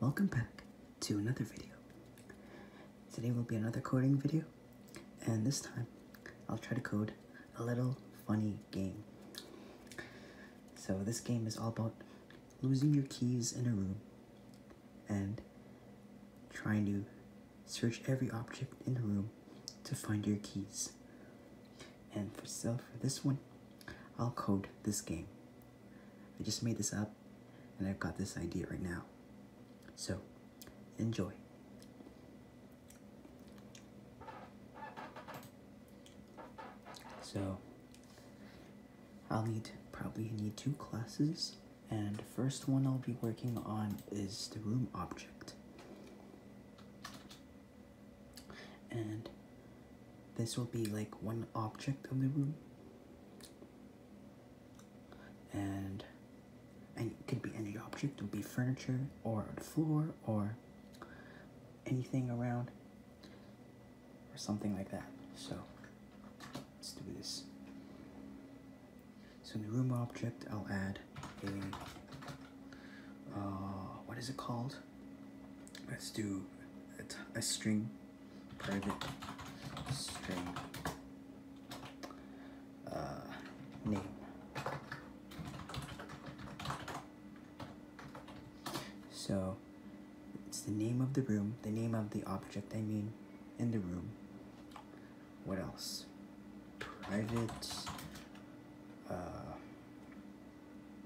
Welcome back to another video. Today will be another coding video, and this time I'll try to code a little funny game. So this game is all about losing your keys in a room and trying to search every object in the room to find your keys. And for so for this one, I'll code this game. I just made this up and I've got this idea right now. So, enjoy. So, I'll need probably need two classes and the first one I'll be working on is the room object. And this will be like one object of the room. And, and it could be any object. It would be furniture or the floor or anything around or something like that. So let's do this. So the room object, I'll add a, uh, what is it called? Let's do a string private string uh, name. So it's the name of the room, the name of the object, I mean, in the room. What else? Private uh,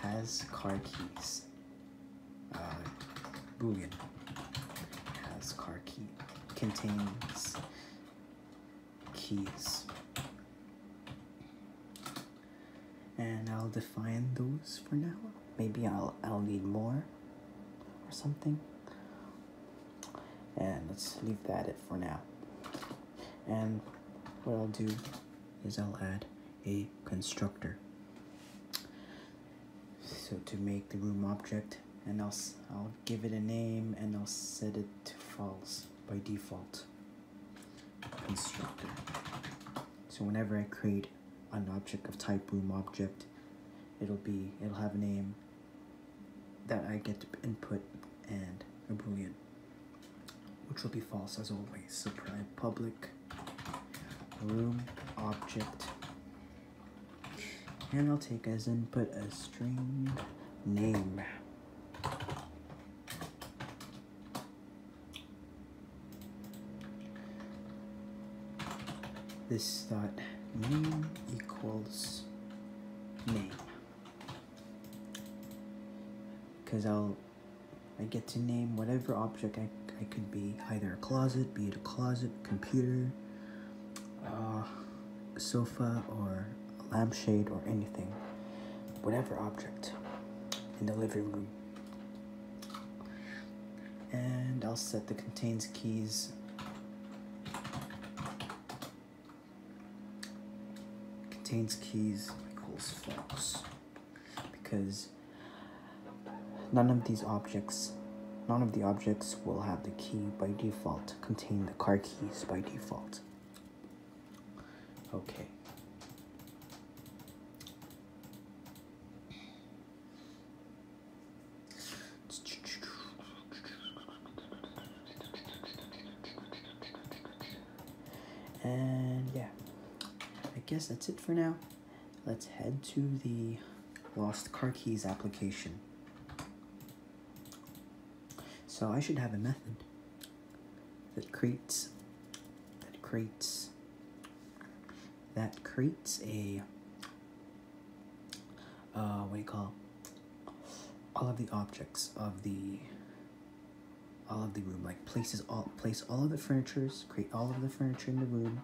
has car keys. Uh, Boolean has car key. Contains keys. And I'll define those for now. Maybe I'll, I'll need more or something. And let's leave that it for now. And what I'll do is I'll add a constructor. So to make the room object, and I'll, I'll give it a name and I'll set it to false by default constructor. So whenever I create an object of type room object, it'll be, it'll have a name that I get to input and a boolean, which will be false as always. So public room object. And I'll take as input a string name. This dot name equals name. Because I'll I get to name whatever object I, I could be, either a closet, be it a closet, computer, uh, sofa, or a lampshade, or anything. Whatever object in the living room. And I'll set the contains keys contains keys equals false because none of these objects none of the objects will have the key by default contain the car keys by default okay and yeah I guess that's it for now Let's head to the lost car keys application. So I should have a method that creates that creates that creates a uh, what do you call all of the objects of the all of the room like places all place all of the furnitures, create all of the furniture in the room.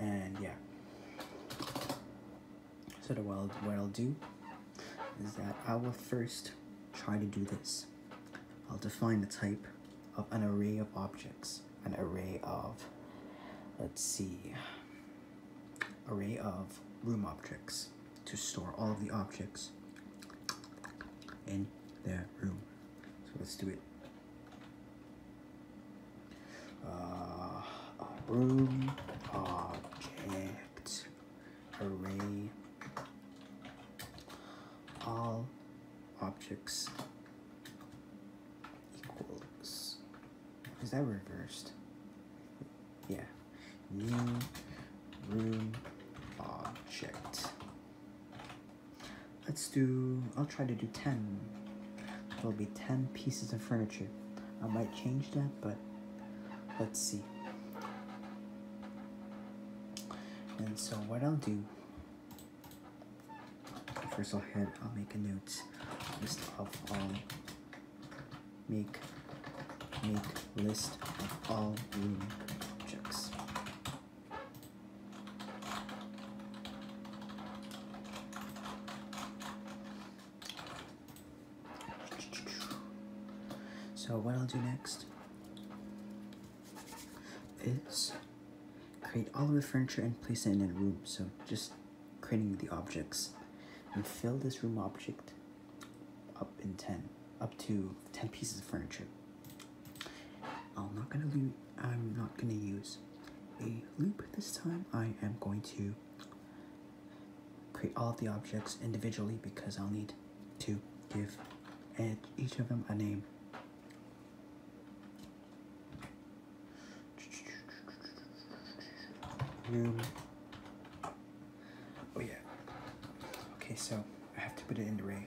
And yeah. So the, what, I'll, do is that I will first try to do this. I'll define the type of an array of objects, an array of, let's see, array of room objects to store all of the objects in their room. So let's do it. Uh, room object array all objects equals is that reversed yeah new room object Let's do, I'll try to do 10. There'll be 10 pieces of furniture. I might change that, but let's see. And so what I'll do, first I'll, head, I'll make a note list of all, make, make list of all objects. So what I'll do next is create all of the furniture and place it in a room. So just creating the objects and fill this room object up in 10, up to 10 pieces of furniture. I'm not gonna lose. I'm not gonna use a loop this time. I am going to create all of the objects individually because I'll need to give each of them a name. Room. Oh yeah. Okay, so I have to put it in the ray.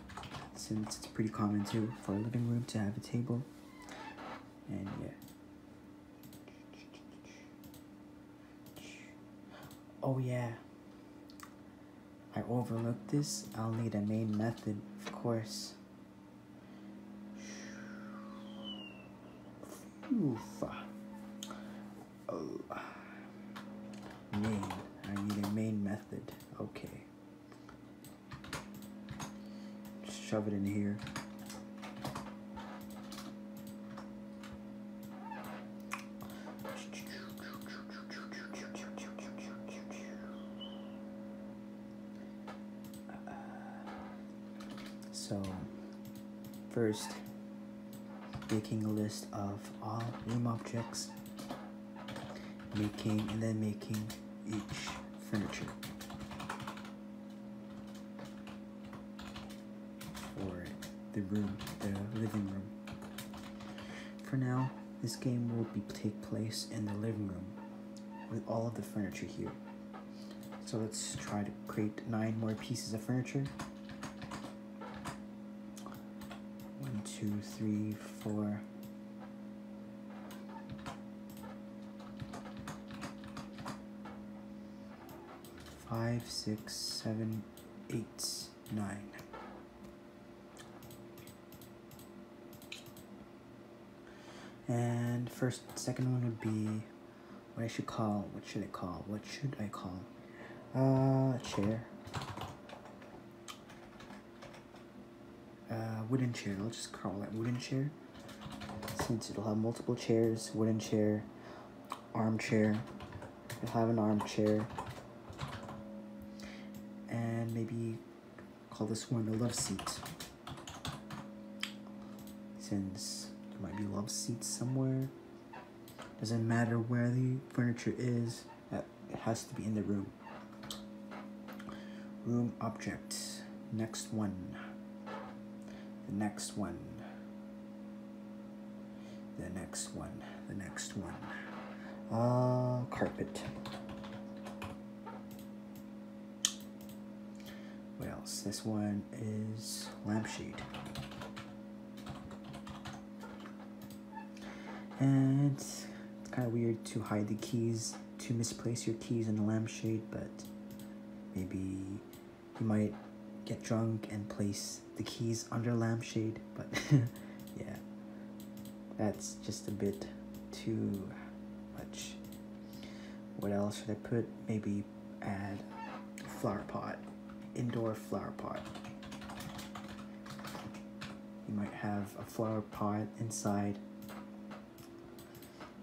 since it's pretty common too for a living room to have a table. And yeah. Oh yeah. I overlooked this. I'll need a main method, of course. Oh. Main. I need a main method. Okay. Shove it in here. So, first, making a list of all room objects making and then making each furniture for the room, the living room. For now, this game will be take place in the living room with all of the furniture here. So let's try to create nine more pieces of furniture. One, two, three, four, Five, six, seven, eight, nine. And first, second one would be what I should call. What should I call? What should I call? Uh, chair uh, wooden chair. I'll just call that wooden chair. Since it'll have multiple chairs, wooden chair, armchair. It'll have an armchair. And maybe call this one a love seat. Since there might be love seats somewhere. Doesn't matter where the furniture is, at it has to be in the room. Room object. Next one. The next one. The next one. The next one. Uh, carpet. What else? This one is lampshade. And it's, kind of weird to hide the keys, to misplace your keys in the lampshade, but maybe you might get drunk and place the keys under lampshade, but yeah, that's just a bit too much. What else should I put? Maybe add flower pot, indoor flower pot. You might have a flower pot inside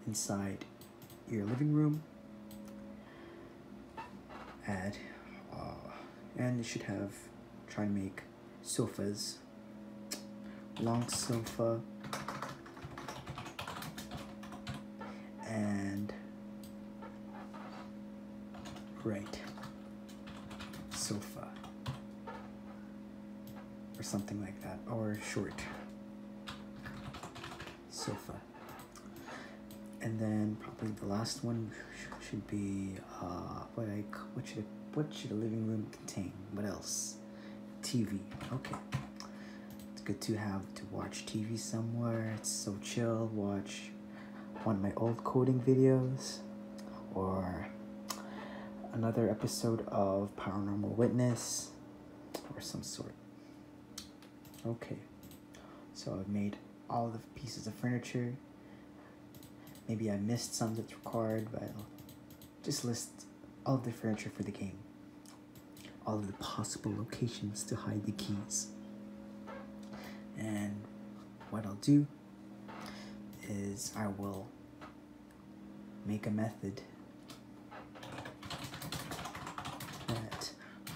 inside your living room add uh, and you should have try and make sofas long sofa and right sofa or something like that, or short sofa. And then probably the last one should be uh, what I what should what should a living room contain? What else? TV. Okay, it's good to have to watch TV somewhere. It's so chill. Watch one of my old coding videos or another episode of Paranormal Witness or some sort. Okay, so I've made all the pieces of furniture. Maybe I missed some that's required, but just list all the furniture for the game. All of the possible locations to hide the keys. And what I'll do is I will make a method that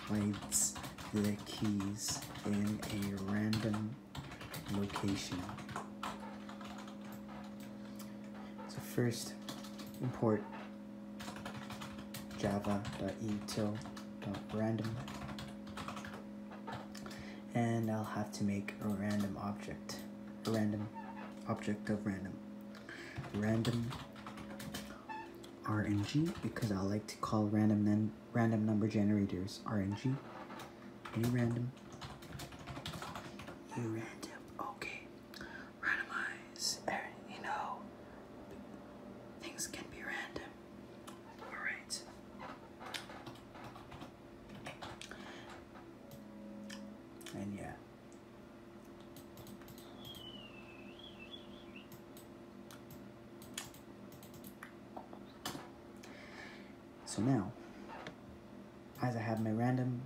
hides the keys in a random location. So first import Java. Random and I'll have to make a random object. A random object of random. Random RNG because I like to call random num random number generators RNG. Any random. New random. Okay. Randomize. Er, you know, things can be random. Alright. And yeah. So now, as I have my random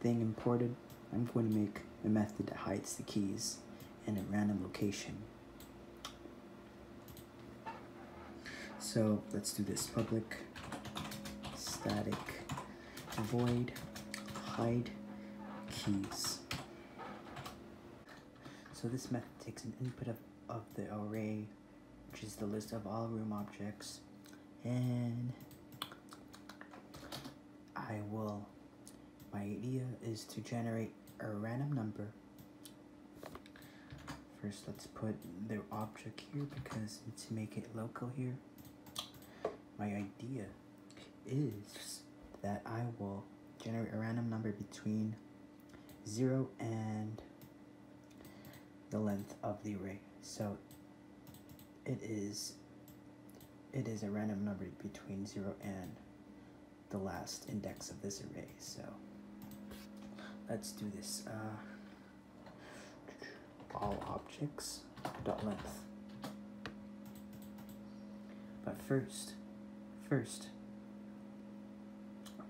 thing imported, I'm going to make a method that hides the keys in a random location. So let's do this public static void hide keys. So this method takes an input of, of the array, which is the list of all room objects, and I will, my idea is to generate a random number First, let's put their object here because to make it local here, my idea is that I will generate a random number between 0 and the length of the array. So it is it is a random number between 0 and the last index of this array. So let's do this. Uh, all objects dot length. But first, first,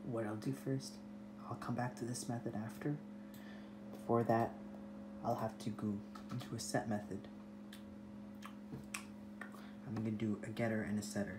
what I'll do first, I'll come back to this method after. For that, I'll have to go into a set method. I'm gonna do a getter and a setter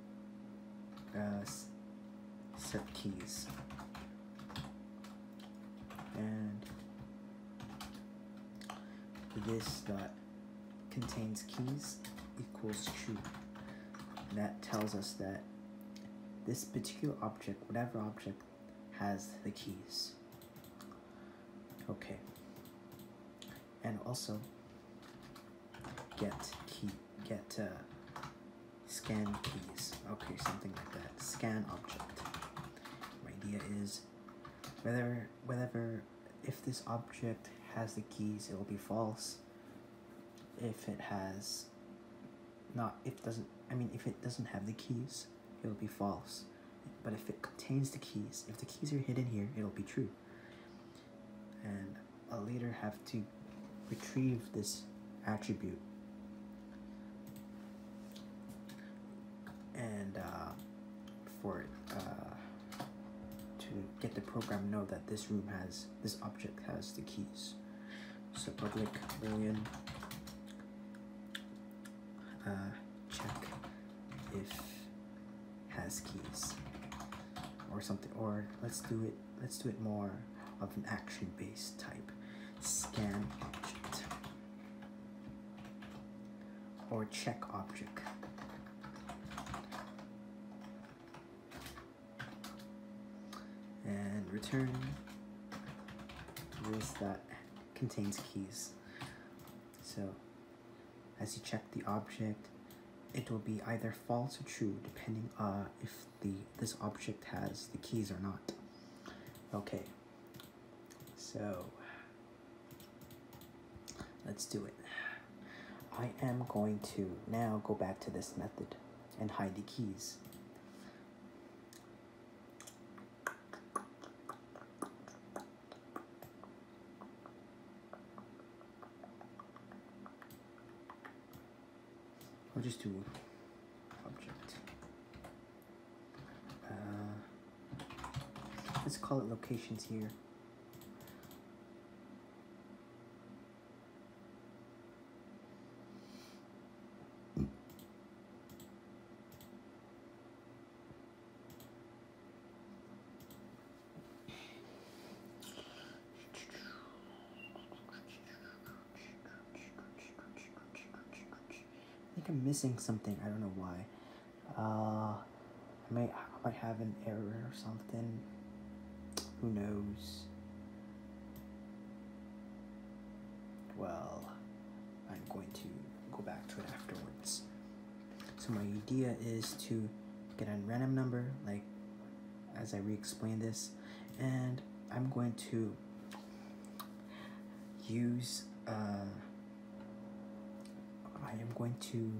uh, set keys and this dot contains keys equals true that tells us that this particular object whatever object has the keys okay and also get key get uh, scan keys. Okay, something like that. Scan object. My idea is whether whatever, if this object has the keys, it will be false. If it has not, if doesn't, I mean, if it doesn't have the keys, it will be false. But if it contains the keys, if the keys are hidden here, it'll be true and I'll later have to retrieve this attribute. And uh, for it, uh, to get the program know that this room has, this object has the keys. So public boolean uh, check if has keys or something, or let's do it let's do it more of an action-based type. Scan object or check object. And return list that contains keys. So as you check the object, it will be either false or true depending on uh, if the this object has the keys or not. Okay, so let's do it. I am going to now go back to this method and hide the keys. I'll just do object. Uh, let's call it locations here. I think I'm missing something. I don't know why. Uh, I may I might have an error or something. Who knows? Well, I'm going to go back to it afterwards. So my idea is to get a random number, like as I re-explain this and I'm going to use uh, I am going to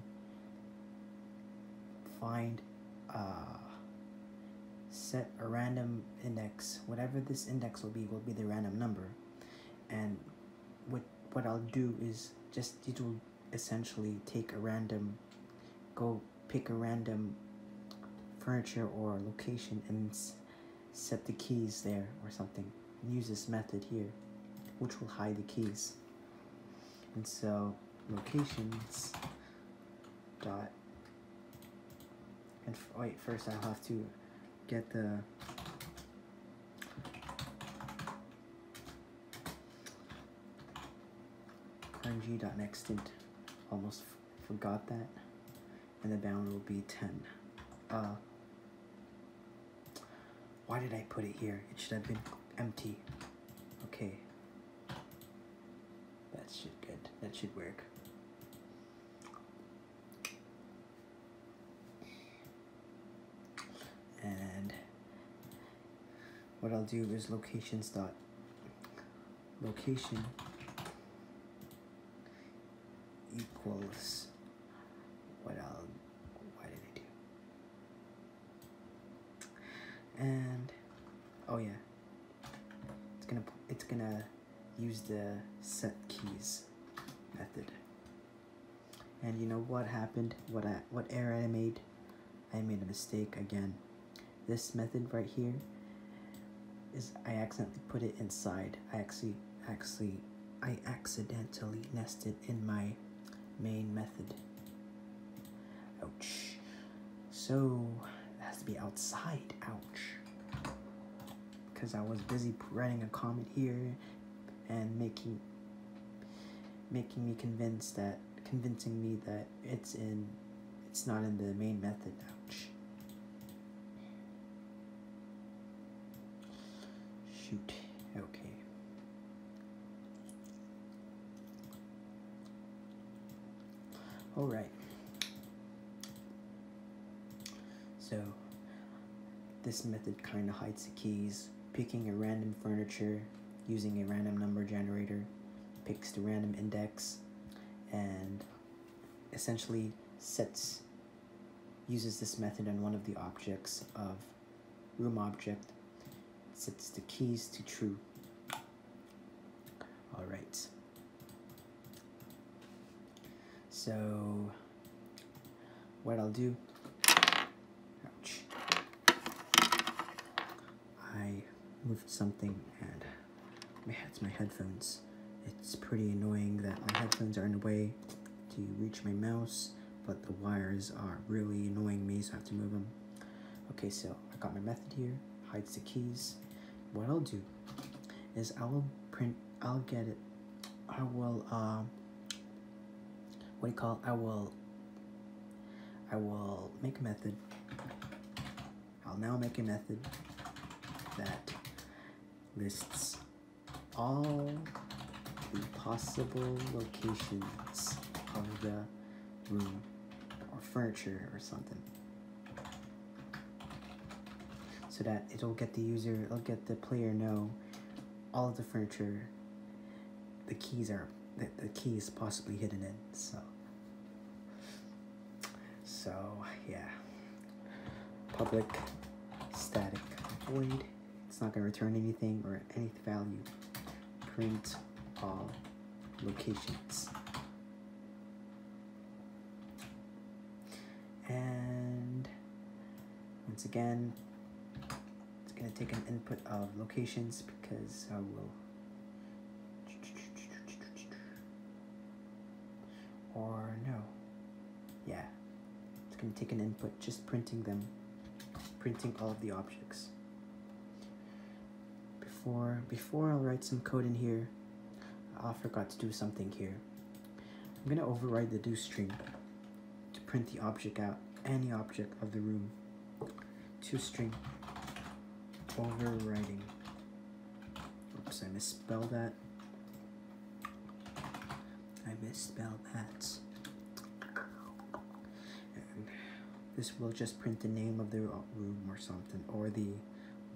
find uh, set a random index whatever this index will be will be the random number and what what I'll do is just it will essentially take a random go pick a random furniture or location and set the keys there or something. Use this method here, which will hide the keys. And so locations dot and wait first I'll have to get the crunchy.nextint. Almost forgot that. And the bound will be 10. Uh, why did I put it here? It should have been empty. Okay. That should good. That should work. And what I'll do is locations dot location equals what I'll why did I do and oh yeah it's gonna it's gonna use the set keys method and you know what happened what I what error I made I made a mistake again this method right here is I accidentally put it inside. I actually, actually, I accidentally nested in my main method. Ouch. So, it has to be outside. Ouch. Because I was busy writing a comment here and making making me convinced that convincing me that it's in it's not in the main method. Ouch. Shoot. Okay. All right. So this method kind of hides the keys, picking a random furniture, using a random number generator, picks the random index and essentially sets uses this method on one of the objects of room object sets the keys to true all right so what I'll do I moved something and my, it's my headphones. It's pretty annoying that my headphones are in the way to reach my mouse, but the wires are really annoying me, so I have to move them. Okay, so I got my method here, hides the keys. What I'll do is I'll print, I'll get it, I will, uh, what do you call I will I will make a method. I'll now make a method that lists all the possible locations of the room or furniture or something so that it'll get the user it'll get the player know all the furniture the keys are the, the keys possibly hidden in so so, yeah. Public static void. It's not going to return anything or any value. Print all locations. And once again, it's going to take an input of locations because I will or no. Yeah. It's going to take an input, just printing them. Printing all of the objects. Before, before I'll write some code in here, I forgot to do something here. I'm going to override the do stream to print the object out, any object of the room two string overriding. Oops, I misspelled that. I misspelled that. this will just print the name of the room or something, or the,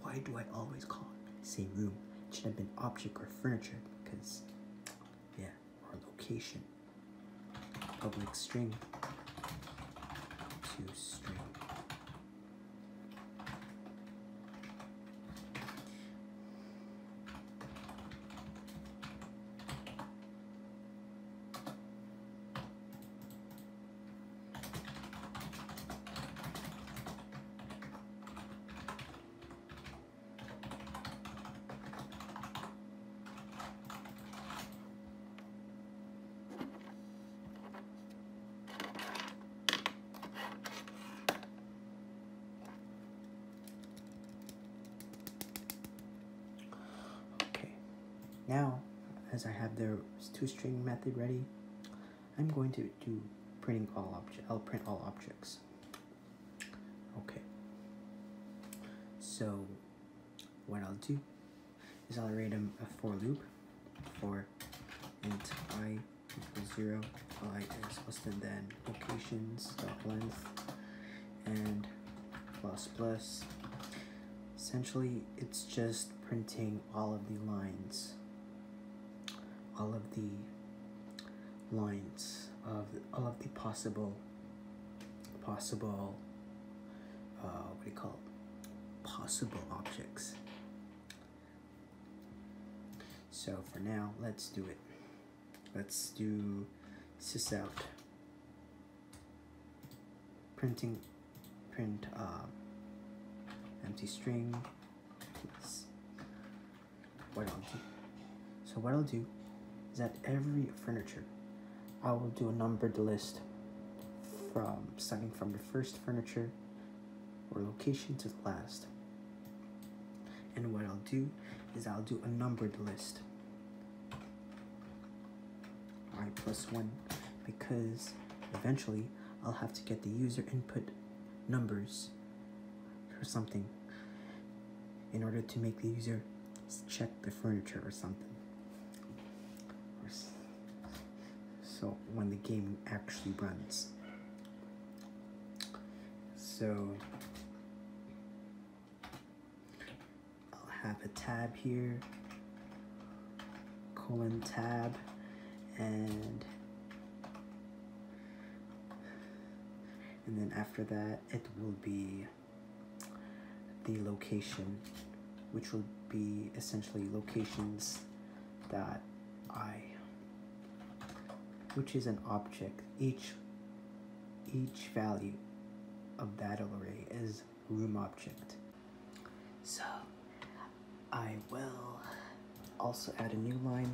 why do I always call it same room? It should have been object or furniture, because, yeah, or location public string to string. Okay, now as I have the two string method ready, I'm going to do printing all objects. I'll print all objects. Okay. So what I'll do is I'll write a, for loop for int i equals 0, i is less than than locations dot length and plus plus. Essentially, it's just printing all of the lines, all of the lines of all of the possible, possible, uh, what do you call possible objects. So for now, let's do it. Let's do sysout printing print uh, empty string. what I'll do. So what I'll do is that every furniture I will do a numbered list from starting from the first furniture or location to the last. And what I'll do is I'll do a numbered list. I plus one because eventually I'll have to get the user input numbers or something in order to make the user check the furniture or something. So when the game actually runs. So I'll have a tab here, colon tab, and and then after that it will be the location, which will be essentially locations that I, which is an object, each, each value of that array is room object. So I will also add a new line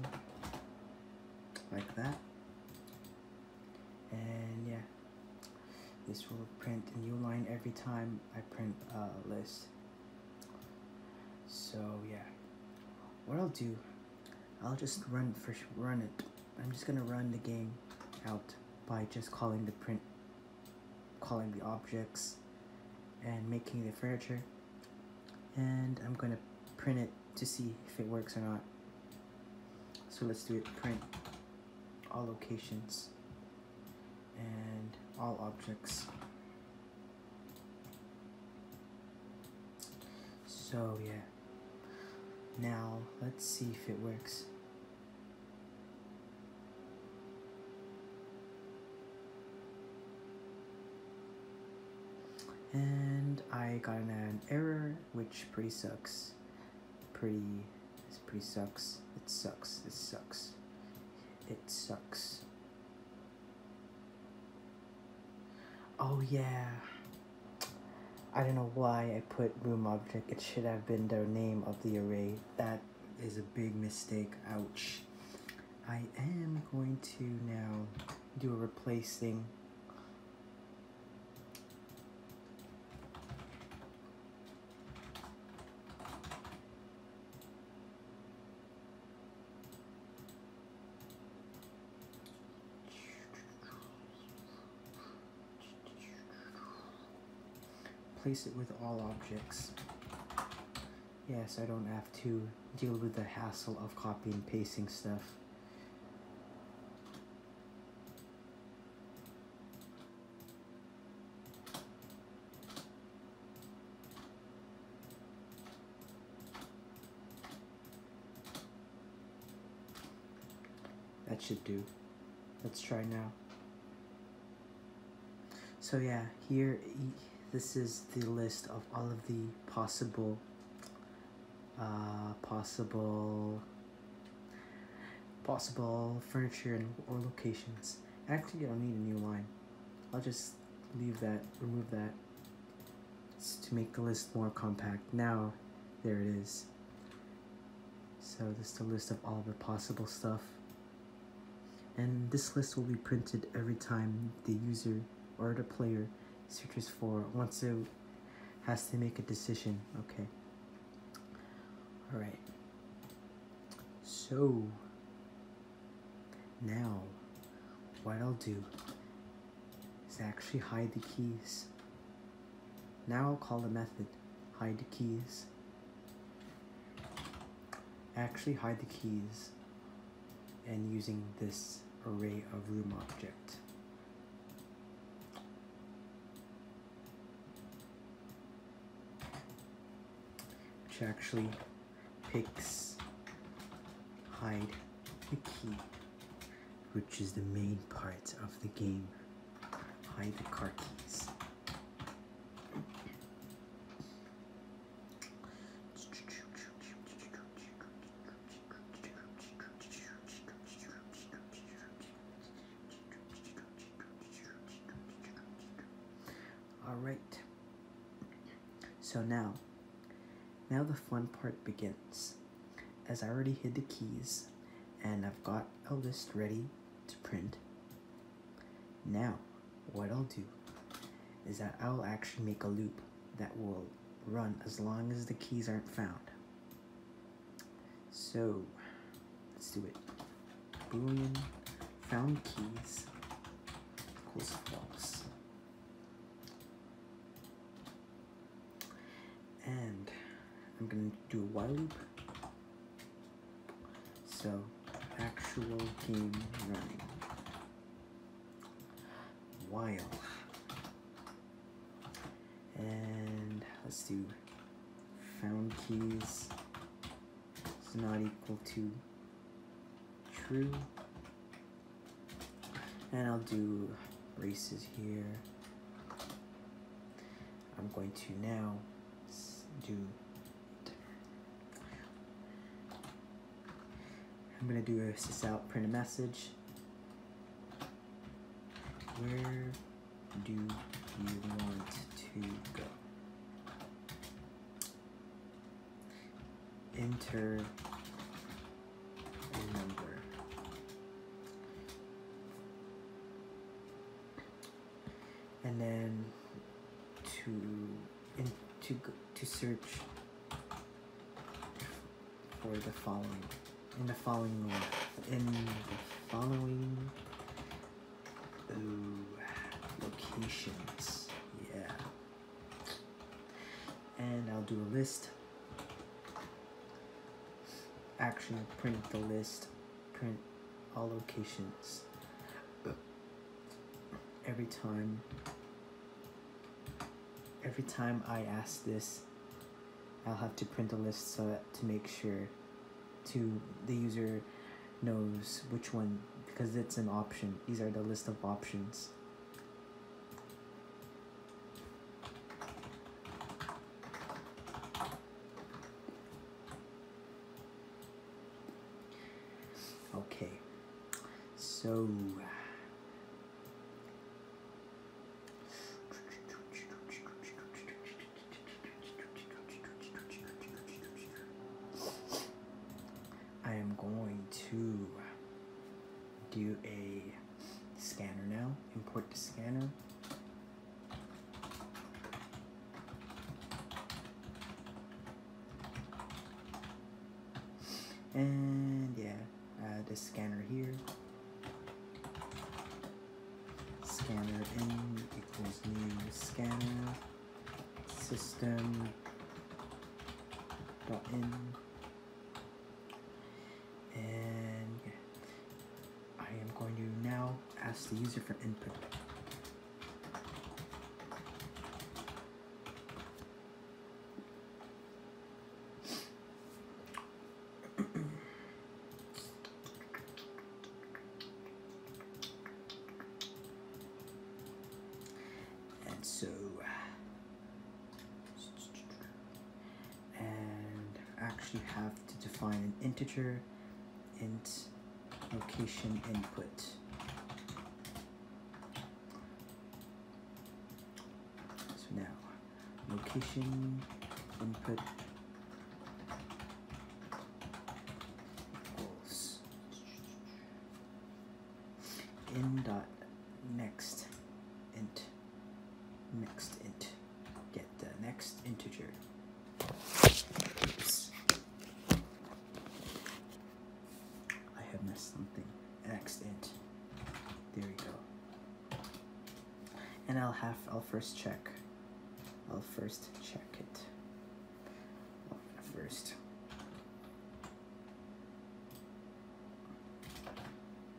like that. And yeah. This will print a new line every time I print a list. So yeah, what I'll do, I'll just run first, run it. I'm just gonna run the game out by just calling the print, calling the objects, and making the furniture. And I'm gonna print it to see if it works or not. So let's do it print all locations and all objects. So yeah, now let's see if it works. And I got an error, which pretty sucks. Pretty this pretty sucks. It sucks. It sucks. It sucks. Oh yeah. I don't know why I put room object. It should have been the name of the array. That is a big mistake. Ouch. I am going to now do a replace thing. Place it with all objects. Yes, I don't have to deal with the hassle of copying and pasting stuff. That should do. Let's try now. So yeah, here, this is the list of all of the possible, uh, possible possible furniture and, or locations. Actually, I will need a new line. I'll just leave that, remove that to make the list more compact. Now, there it is. So this is a list of all the possible stuff. And this list will be printed every time the user or the player searches for, once it has to make a decision, okay. Alright. So, now, what I'll do is actually hide the keys. Now I'll call the method hide the keys. Actually hide the keys and using this array of room object which actually picks hide the key, which is the main part of the game. Hide the car keys. All right. So now, now the fun part begins. As I already hid the keys and I've got a list ready to print. Now, what I'll do is that I'll actually make a loop that will run as long as the keys aren't found. So, let's do it. Boolean found keys equals false. And I'm going to do a while loop. So, actual game running. While. And let's do found keys is not equal to true. And I'll do braces here. I'm going to now do I'm gonna do a sysout print a message where do you want to go? Enter a number. And then to in, to search for the following the following in the following locations. Yeah. And I'll do a list. Actually, print the list. Print all locations. Every time. Every time I ask this, I'll have to print a list so that, to make sure to the user knows which one because it's an option. These are the list of options. Okay, so I am going to do a scanner now, import the scanner. And yeah, add uh, the scanner here scanner in equals new scanner system dot in and I am going to now ask the user for input and so and I actually have to define an integer int location input so now location input goals. dot next int next int get the next integer. I have missed something. Next int. There we go and I'll have I'll first check I'll first check it first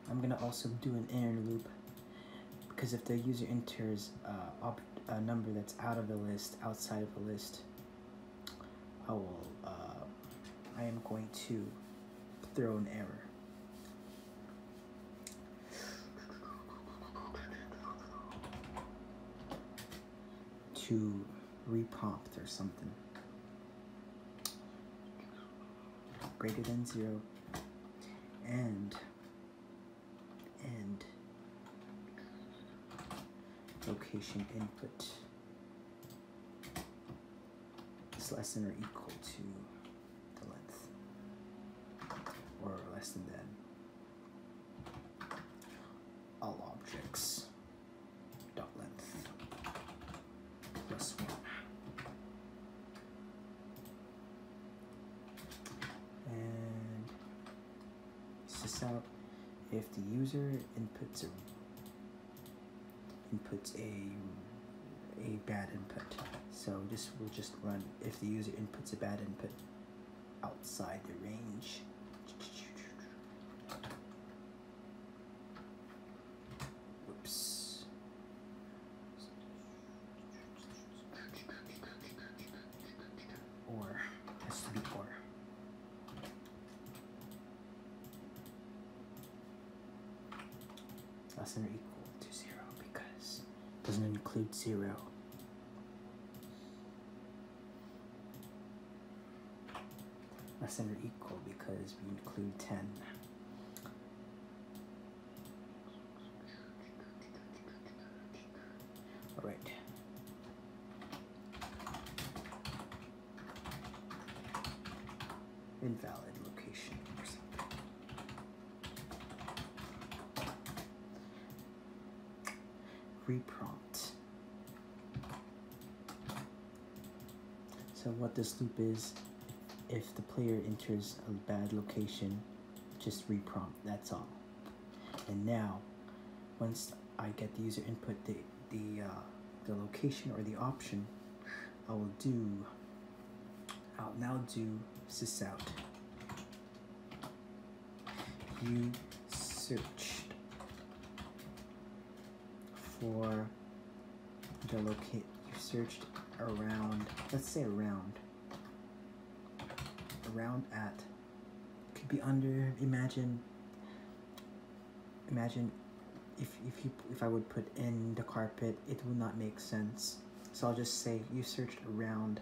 I'm gonna also do an inner loop because if the user enters uh, a number that's out of the list outside of the list I will uh, I am going to throw an error to repopped or something. Greater than zero. And, and, location input is less than or equal to the length, or less than that. All objects dot length plus one. And this out if the user inputs a inputs a a bad input. So this will just run if the user inputs a bad input outside the range. Whoops. Or has to or. Less than or equal to zero because doesn't include zero. Less than or equal because we include 10. All right. Invalid location Reprompt. So what this loop is, if the player enters a bad location, just reprompt, that's all. And now, once I get the user input, the, the, uh, the location or the option, I will do I'll now do sysout. You searched for the locate. You searched around. Let's say around. Around at could be under. Imagine. Imagine if if you if I would put in the carpet, it will not make sense. So I'll just say you searched around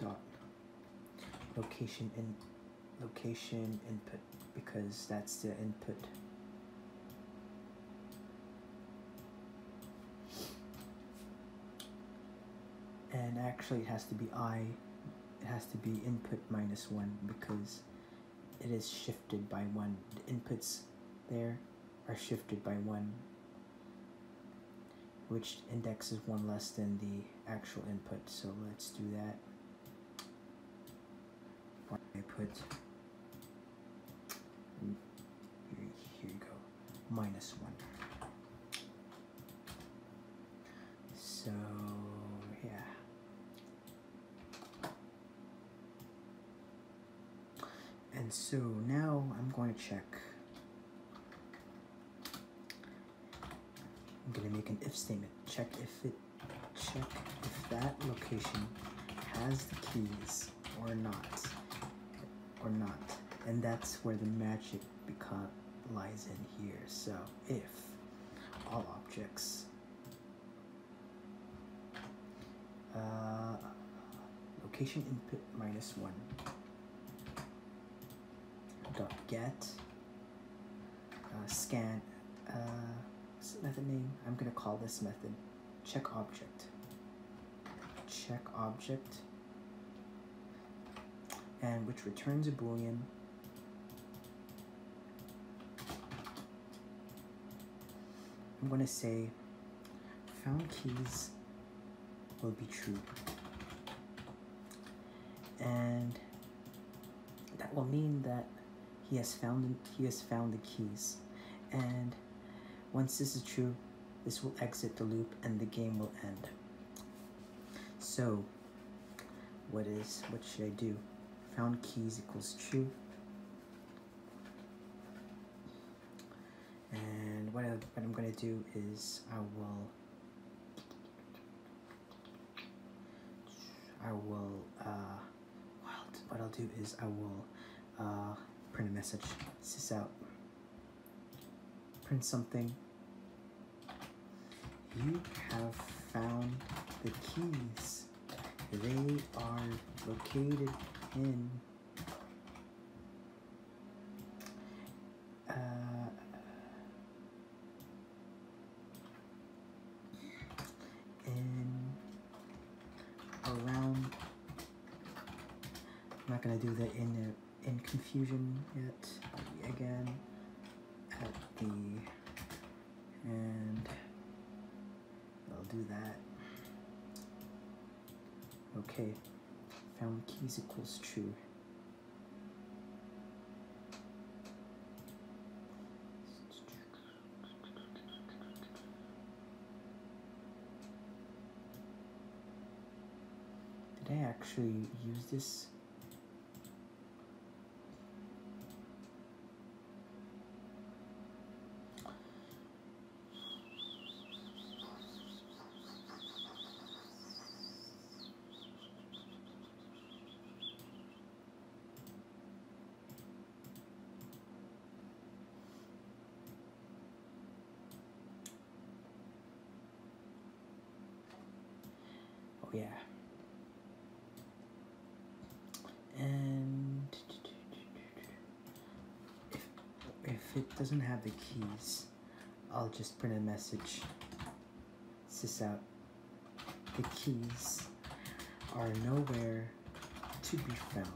dot location in location input because that's the input and actually it has to be i it has to be input minus one because it is shifted by one the inputs there are shifted by one, which index is one less than the actual input. So let's do that. I put mm, here you go, minus one. So yeah. And so now I'm going to check. I'm going to make an if statement. Check if it, check if that location has the keys or not, or not. And that's where the magic become, lies in here. So if all objects, uh, location input minus one, dot get uh, scan uh, method name I'm gonna call this method check object check object and which returns a boolean I'm gonna say found keys will be true. And that will mean that he has found he has found the keys. And once this is true, this will exit the loop and the game will end. So what is what should I do? Found keys equals true. And what, I, am going to do is I will I will uh, what I'll do is I will uh, print a message. This out. Print something. You have found the keys. They are located in uh, in around, I'm not gonna do that in uh, in confusion yet again at the and I'll do that Okay, found keys equals true. Did I actually use this? Oh yeah. And if, if it doesn't have the keys, I'll just print a message. Sys out. The keys are nowhere to be found.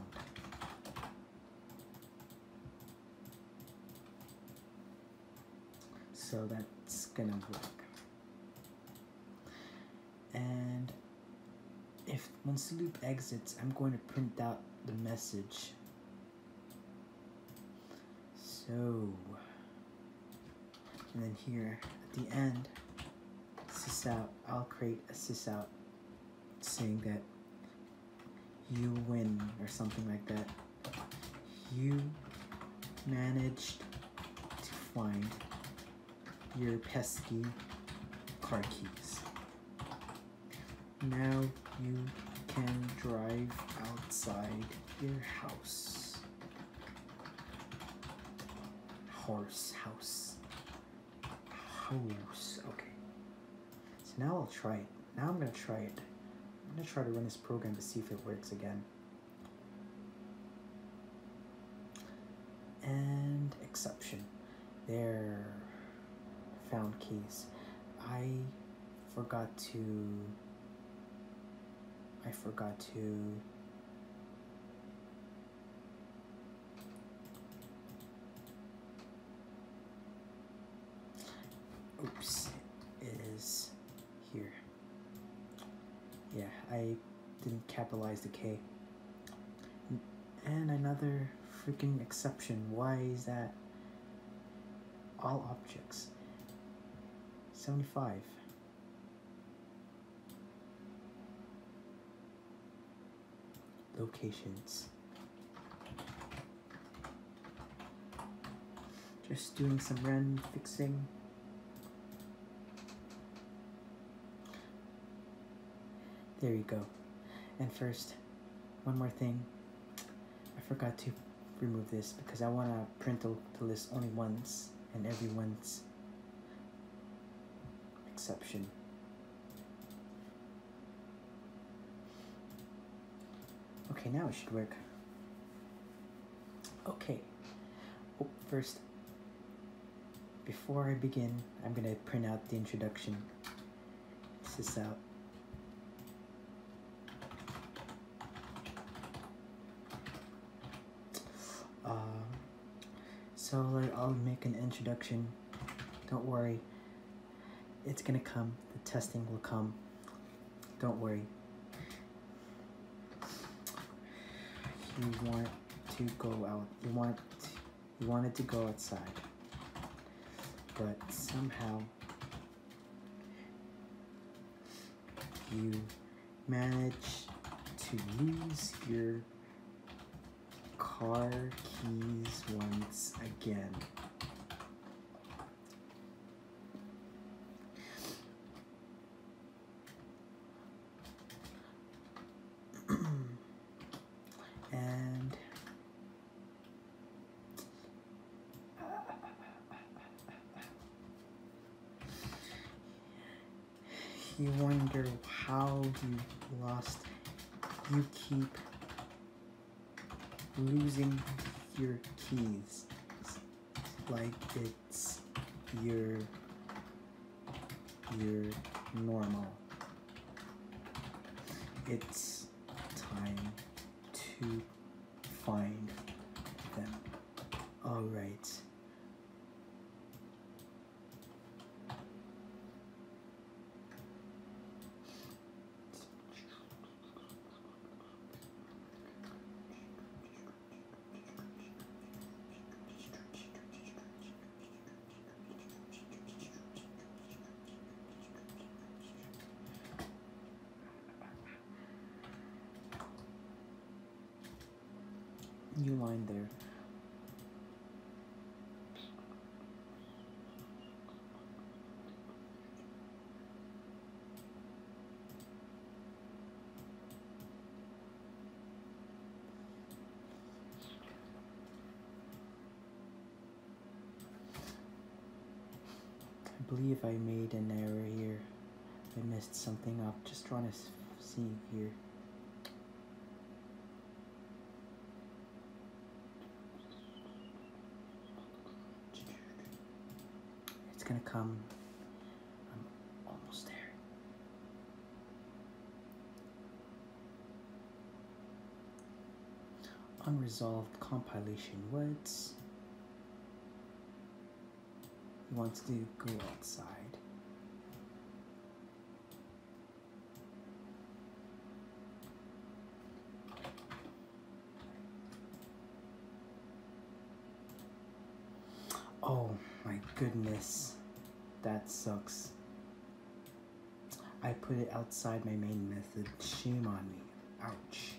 So that's gonna work. And if once the loop exits, I'm going to print out the message so, and then here at the end, sys out, I'll create a sis out saying that you win or something like that. You managed to find your pesky car keys. Now you can drive outside your house. Horse house. House. Okay. So now I'll try it. Now I'm going to try it. I'm going to try to run this program to see if it works again. And exception. There found case. I forgot to I forgot to Oops, it is here. Yeah, I didn't capitalize the K. And another freaking exception. Why is that? all objects. 75. Locations. Just doing some random fixing. There you go. And first, one more thing. I forgot to remove this because I want to print the, list only once and everyone's exception. Okay, now it should work. Okay. Oh, first, before I begin, I'm going to print out the introduction this is out. Uh, so like I'll make an introduction. Don't worry. It's gonna come. The testing will come. Don't worry. You want to go out. You want you wanted to go outside. But somehow you manage to lose your car keys once again. and you wonder how you lost. You keep losing your keys like it's your your normal. It's time to find them. All right. New line there. I believe I made an error here. I missed something up. Just trying to see here. It's gonna come. I'm almost there unresolved compilation words. We want to go outside. Oh my goodness, that sucks. I put it outside my main method. Shame on me. Ouch.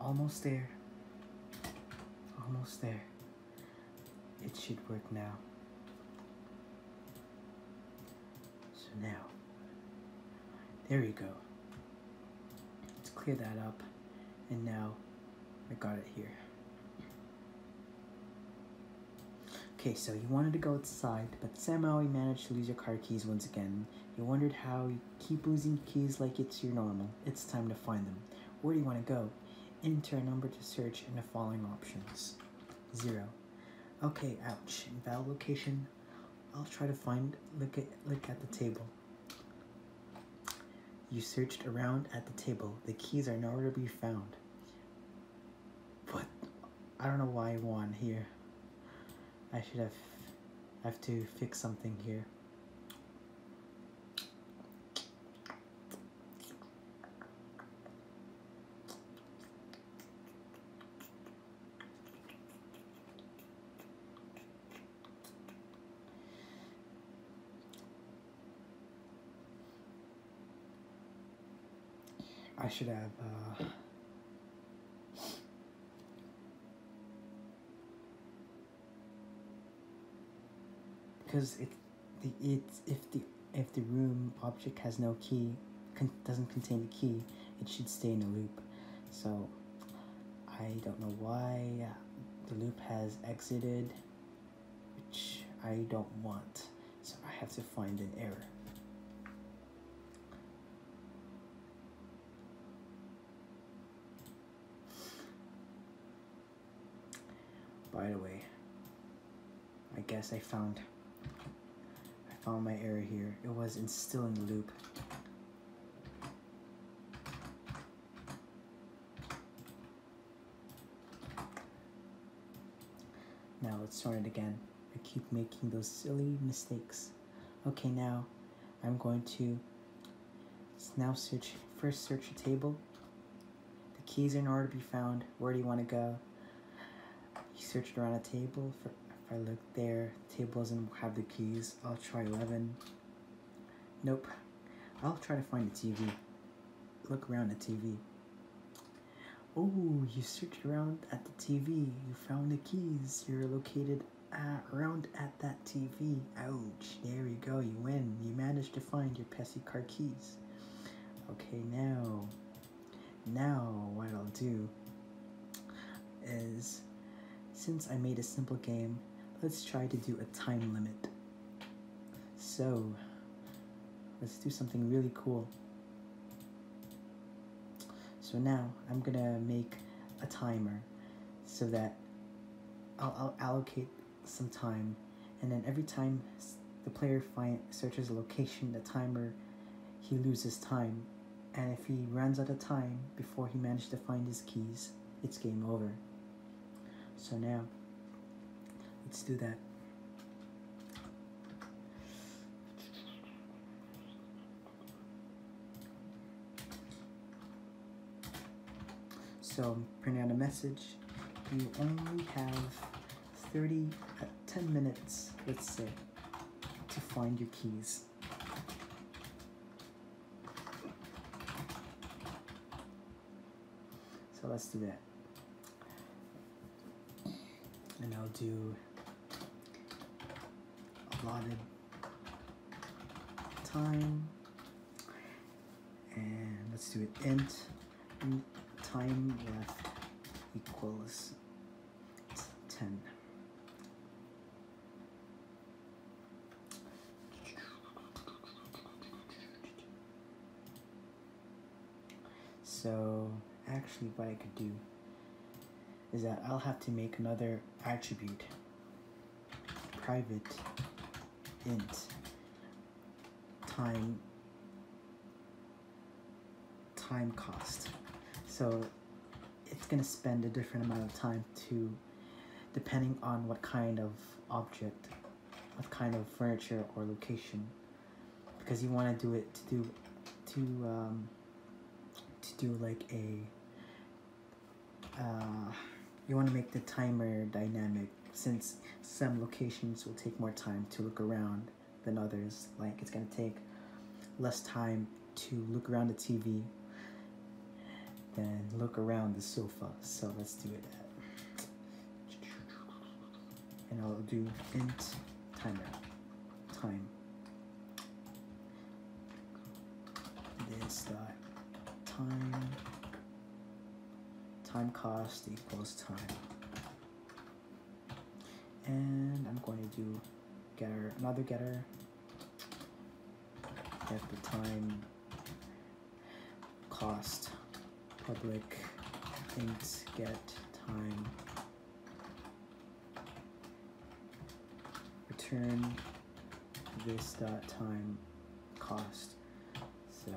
almost there. Almost there. It should work now. So now, there you go. Let's clear that up. And now, I got it here. Okay, so you wanted to go outside, but somehow you managed to lose your car keys once again. You wondered how you keep losing keys like it's your normal. It's time to find them. Where do you want to go? Enter a number to search in the following options. 0. Okay, ouch. Invalid location. I'll try to find, look at, look at the table. You searched around at the table. The keys are nowhere to be found. But I don't know why I won here. I should have I have to fix something here. I should have. because uh, it, the it if the if the room object has no key, doesn't contain the key, it should stay in a loop. So I don't know why the loop has exited which I don't want. So I have to find an error. By the way, I guess I found I found my error here. It was in still loop. Now let's start it again. I keep making those silly mistakes. Okay, now I'm going to now search, first search the table. The keys are nowhere to be found. Where do you want to go? You searched around the table. if I look there, the table doesn't have the keys. I'll try 11. Nope. I'll try to find the TV. Look around the TV. Oh, you searched around at the TV. You found the keys. You're located at, around at that TV. Ouch. There you go. You win. You managed to find your pesky car keys. Okay, now, now what I'll do is, since I made a simple game, let's try to do a time limit. So, Let's do something really cool. So now I'm gonna make a timer so that I'll, allocate some time and then every time the player find, searches a location, the timer, he loses time. And if he runs out of time before he managed to find his keys, it's game over. So now, let's do that. So print out a message. You only have 30, uh, 10 minutes, let's say, to find your keys. So let's do that. And I'll do allotted time. And let's do it int time left equals 10. So actually what I could do is that I'll have to make another attribute private int time time cost so it's gonna spend a different amount of time to depending on what kind of object what kind of furniture or location because you want to do it to do to um, to do like a uh, you want to make the timer dynamic since some locations will take more time to look around than others like it's going to take less time to look around the TV than look around the sofa so let's do it and I'll do int timer time this dot time time cost equals time and I'm going to do getter another getter at the time cost public things get time. Return this dot time cost. So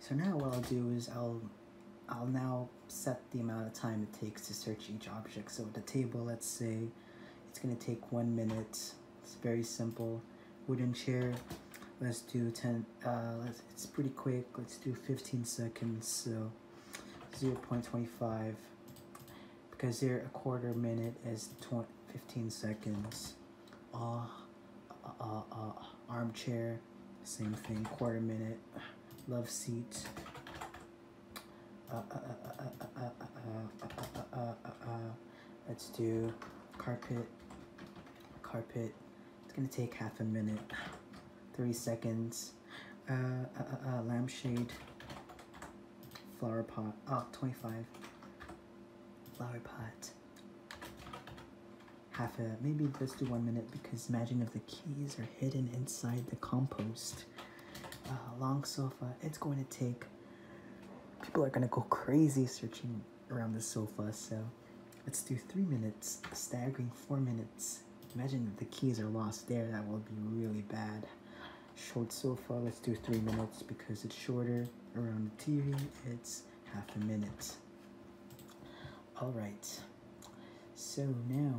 So now what I'll do is I'll I'll now set the amount of time it takes to search each object. So the table, let's say it's gonna take one minute it's very simple. Wooden chair. Let's do 10, uh, it's pretty quick. Let's do 15 seconds, so 0.25. Because here a quarter minute is 20, 15 seconds. Ah, uh, uh, armchair, same thing, quarter minute. Love seat. Uh, uh, uh, uh, uh, uh, uh, uh, uh, uh, uh, Let's do carpet, carpet. It's gonna take half a minute, three seconds. Uh, uh, uh, uh lampshade, flower pot, oh, 25. Flower pot. Half a, maybe just do one minute because imagine if the keys are hidden inside the compost. Uh, long sofa, it's going to take People are gonna go crazy searching around the sofa, so let's do three minutes, staggering four minutes. Imagine if the keys are lost there, that will be really bad. Short sofa, let's do three minutes because it's shorter. Around the TV, it's half a minute. All right, so now,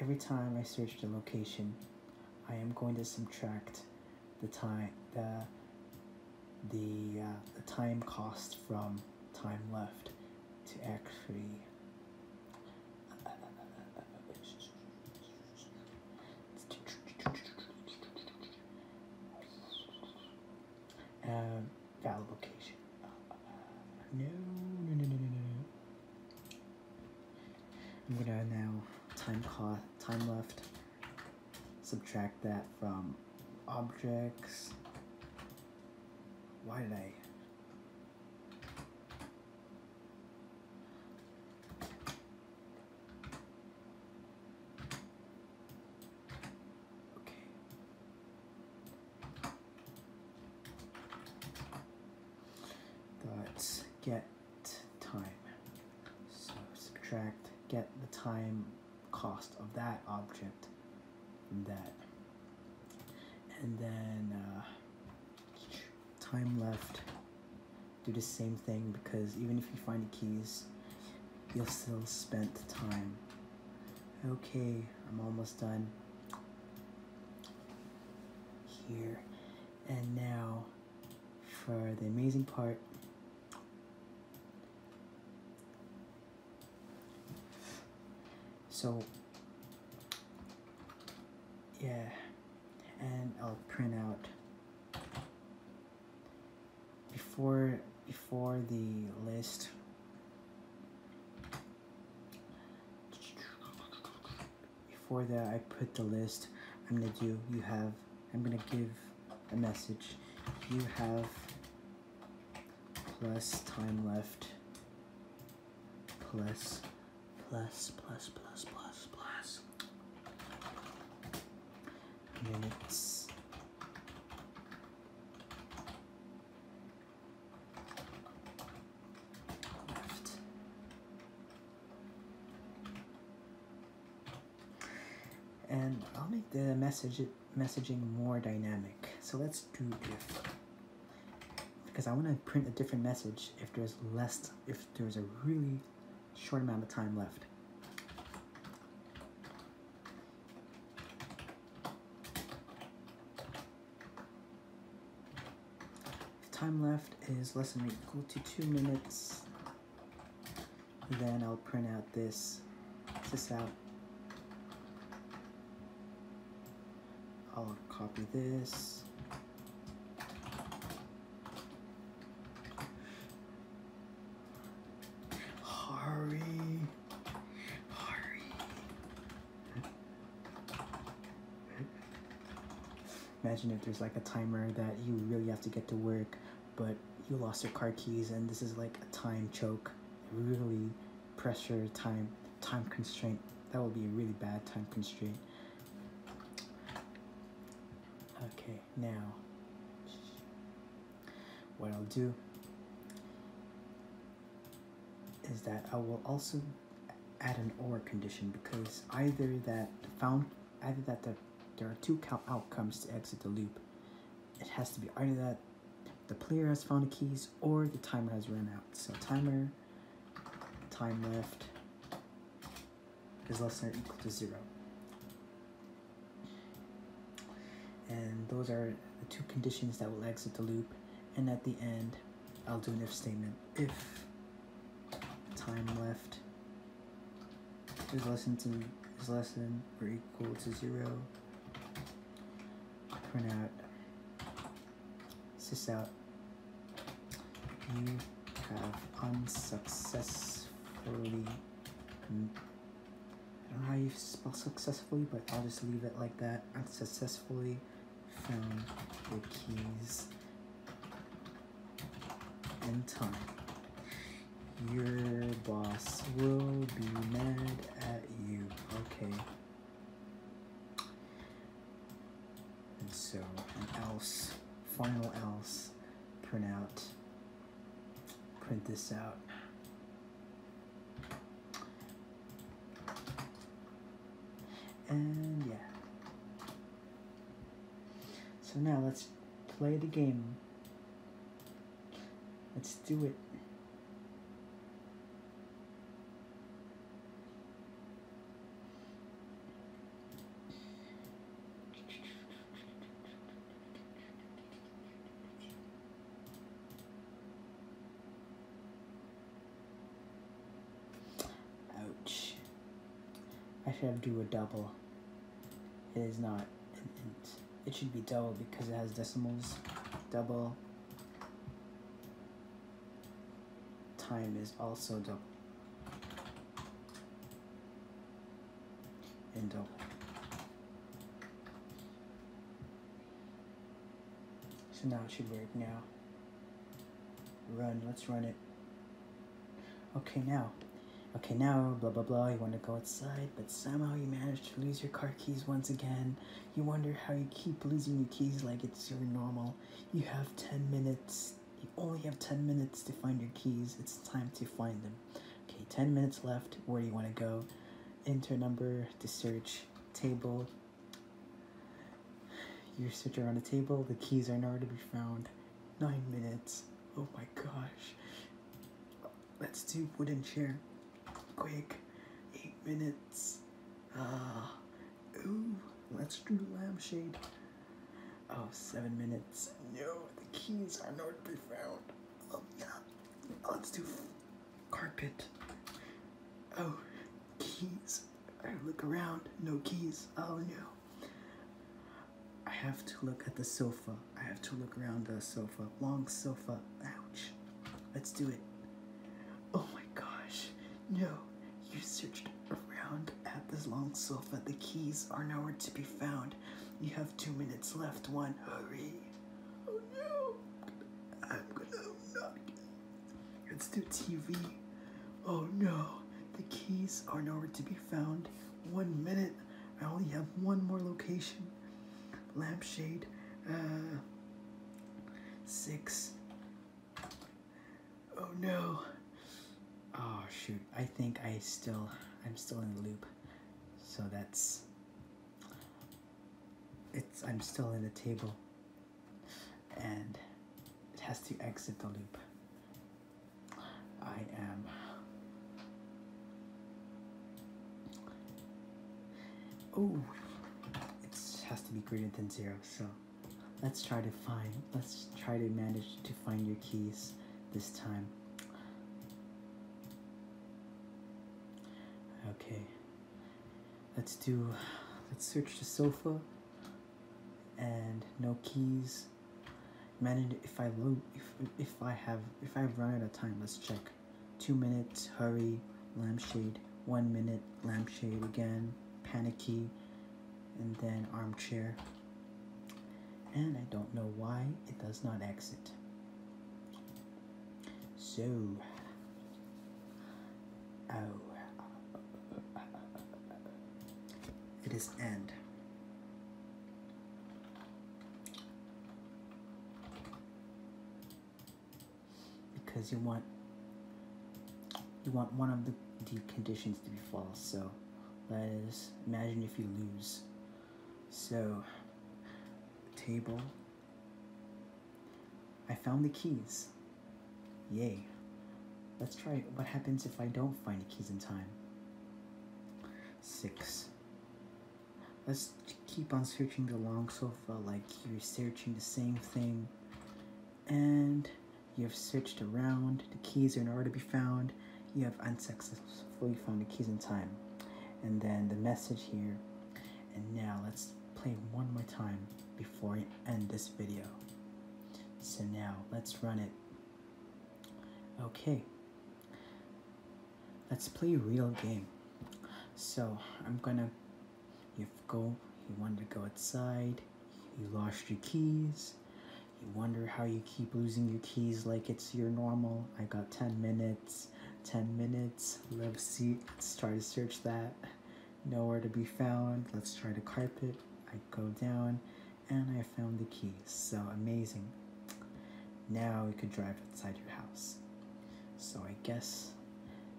every time I search the location, I am going to subtract the time the the, uh, the time cost from time left to actually um, valid location. no, no, no, no, no, no. I'm now time cost time left subtract that from objects. Why did I? Okay. Dot get time. So subtract, get the time cost of that object that. And then uh, time left, do the same thing because even if you find the keys, you'll still spend time. Okay, I'm almost done here. And now for the amazing part. So, yeah, and I'll print out before before the list before that I put the list I'm gonna do you have I'm gonna give a message you have plus time left plus plus plus plus plus plus minutes left and I'll make the message messaging more dynamic. So let's do if because I want to print a different message if there's less if there's a really short amount of time left. time left is less than equal to two minutes then I'll print out this, this out. I'll copy this. Hurry, hurry. Imagine if there's like a timer that you really have to get to work, but you lost your car keys and this is like a time choke. Really pressure, time, time constraint. That would be a really bad time constraint. Okay, now, what I'll do is that I will also add an or condition because either that the found either that the there are two outcomes to exit the loop. It has to be either that the player has found the keys or the timer has run out. So timer, time left is less than or equal to zero. And those are the two conditions that will exit the loop. And at the end, I'll do an if statement. If time left is less than is less than or equal to zero. Print out sys out. You have unsuccessfully hmm. I don't know how you spell successfully, but I'll just leave it like that. Unsuccessfully found the keys in time. Your boss will be mad at you. Okay. And so an else, final else, print out, print this out. And yeah. So now let's play the game. Let's do it. Ouch. I should have do a double. It is not int. It should be double because it has decimals. Double. Time is also double. And double. So now it should work now. Run, let's run it. Okay, now. Okay, now, blah, blah, blah. You want to go outside, but somehow you manage to lose your car keys once again. You wonder how you keep losing your keys like it's your normal. You have 10 minutes. You only have 10 minutes to find your keys. It's time to find them. Okay, 10 minutes left. Where do you want to go? Enter number to search table. You search around the table. The keys are nowhere to be found. Nine minutes. Oh my gosh. Let's do wooden chair. Quick. Eight minutes. Ah. ooh. Let's do lampshade. Oh, seven minutes. No, the keys are not to be found. Oh, yeah. Oh, let's do carpet. Oh, keys. I look around. No keys. Oh, no. I have to look at the sofa. I have to look around the sofa. Long sofa. Ouch. Let's do it. Oh my gosh. No. You searched around at this long sofa. The keys are nowhere to be found. You have two minutes left. One. Hurry. Oh no. I'm gonna not. Let's do TV. Oh no. The keys are nowhere to be found one minute. I only have one more location. Lampshade uh, six. Oh no. Oh shoot. I think I still I'm still in the loop. So that's it's I'm still in the table and it has to exit the loop. I am oh it has to be greater than zero so let's try to find let's try to manage to find your keys this time okay let's do let's search the sofa and no keys Manage if I load if if I have if I run out of time. Let's check. Two minutes. Hurry. Lampshade. One minute. Lampshade again. Panicky. And then armchair. And I don't know why it does not exit. So. Oh. It is end. Because you want you want one of the, conditions to be false, so that is imagine if you lose. So table. I found the keys. Yay. Let's try What happens if I don't find the keys in time? Six. Let's keep on searching the long sofa like you're searching the same thing. And you've searched around. The keys are nowhere to be found. You have unsuccessfully found the keys in time. And then the message here. And now let's play one more time before we end this video. So now let's run it. Okay, let's play real game. So I'm gonna, you go, you wanted to go outside, you lost your keys, you wonder how you keep losing your keys like it's your normal. I got 10 minutes, 10 minutes, live seat, let's try to search that. Nowhere to be found, let's try the carpet. I go down, and I found the key. So amazing. Now we could drive outside your house. So I guess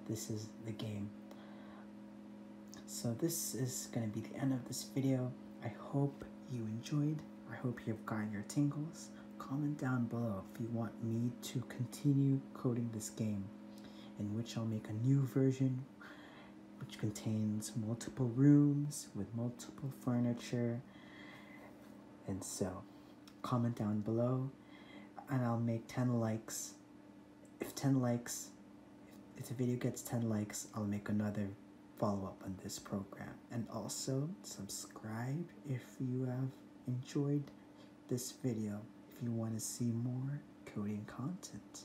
this is the game. So this is going to be the end of this video. I hope you enjoyed. I hope you've gotten your tingles. Comment down below if you want me to continue coding this game in which I'll make a new version which contains multiple rooms with multiple furniture. And so, comment down below and I'll make 10 likes. If 10 likes, if the video gets 10 likes, I'll make another follow up on this program. And also, subscribe if you have enjoyed this video, if you want to see more coding content.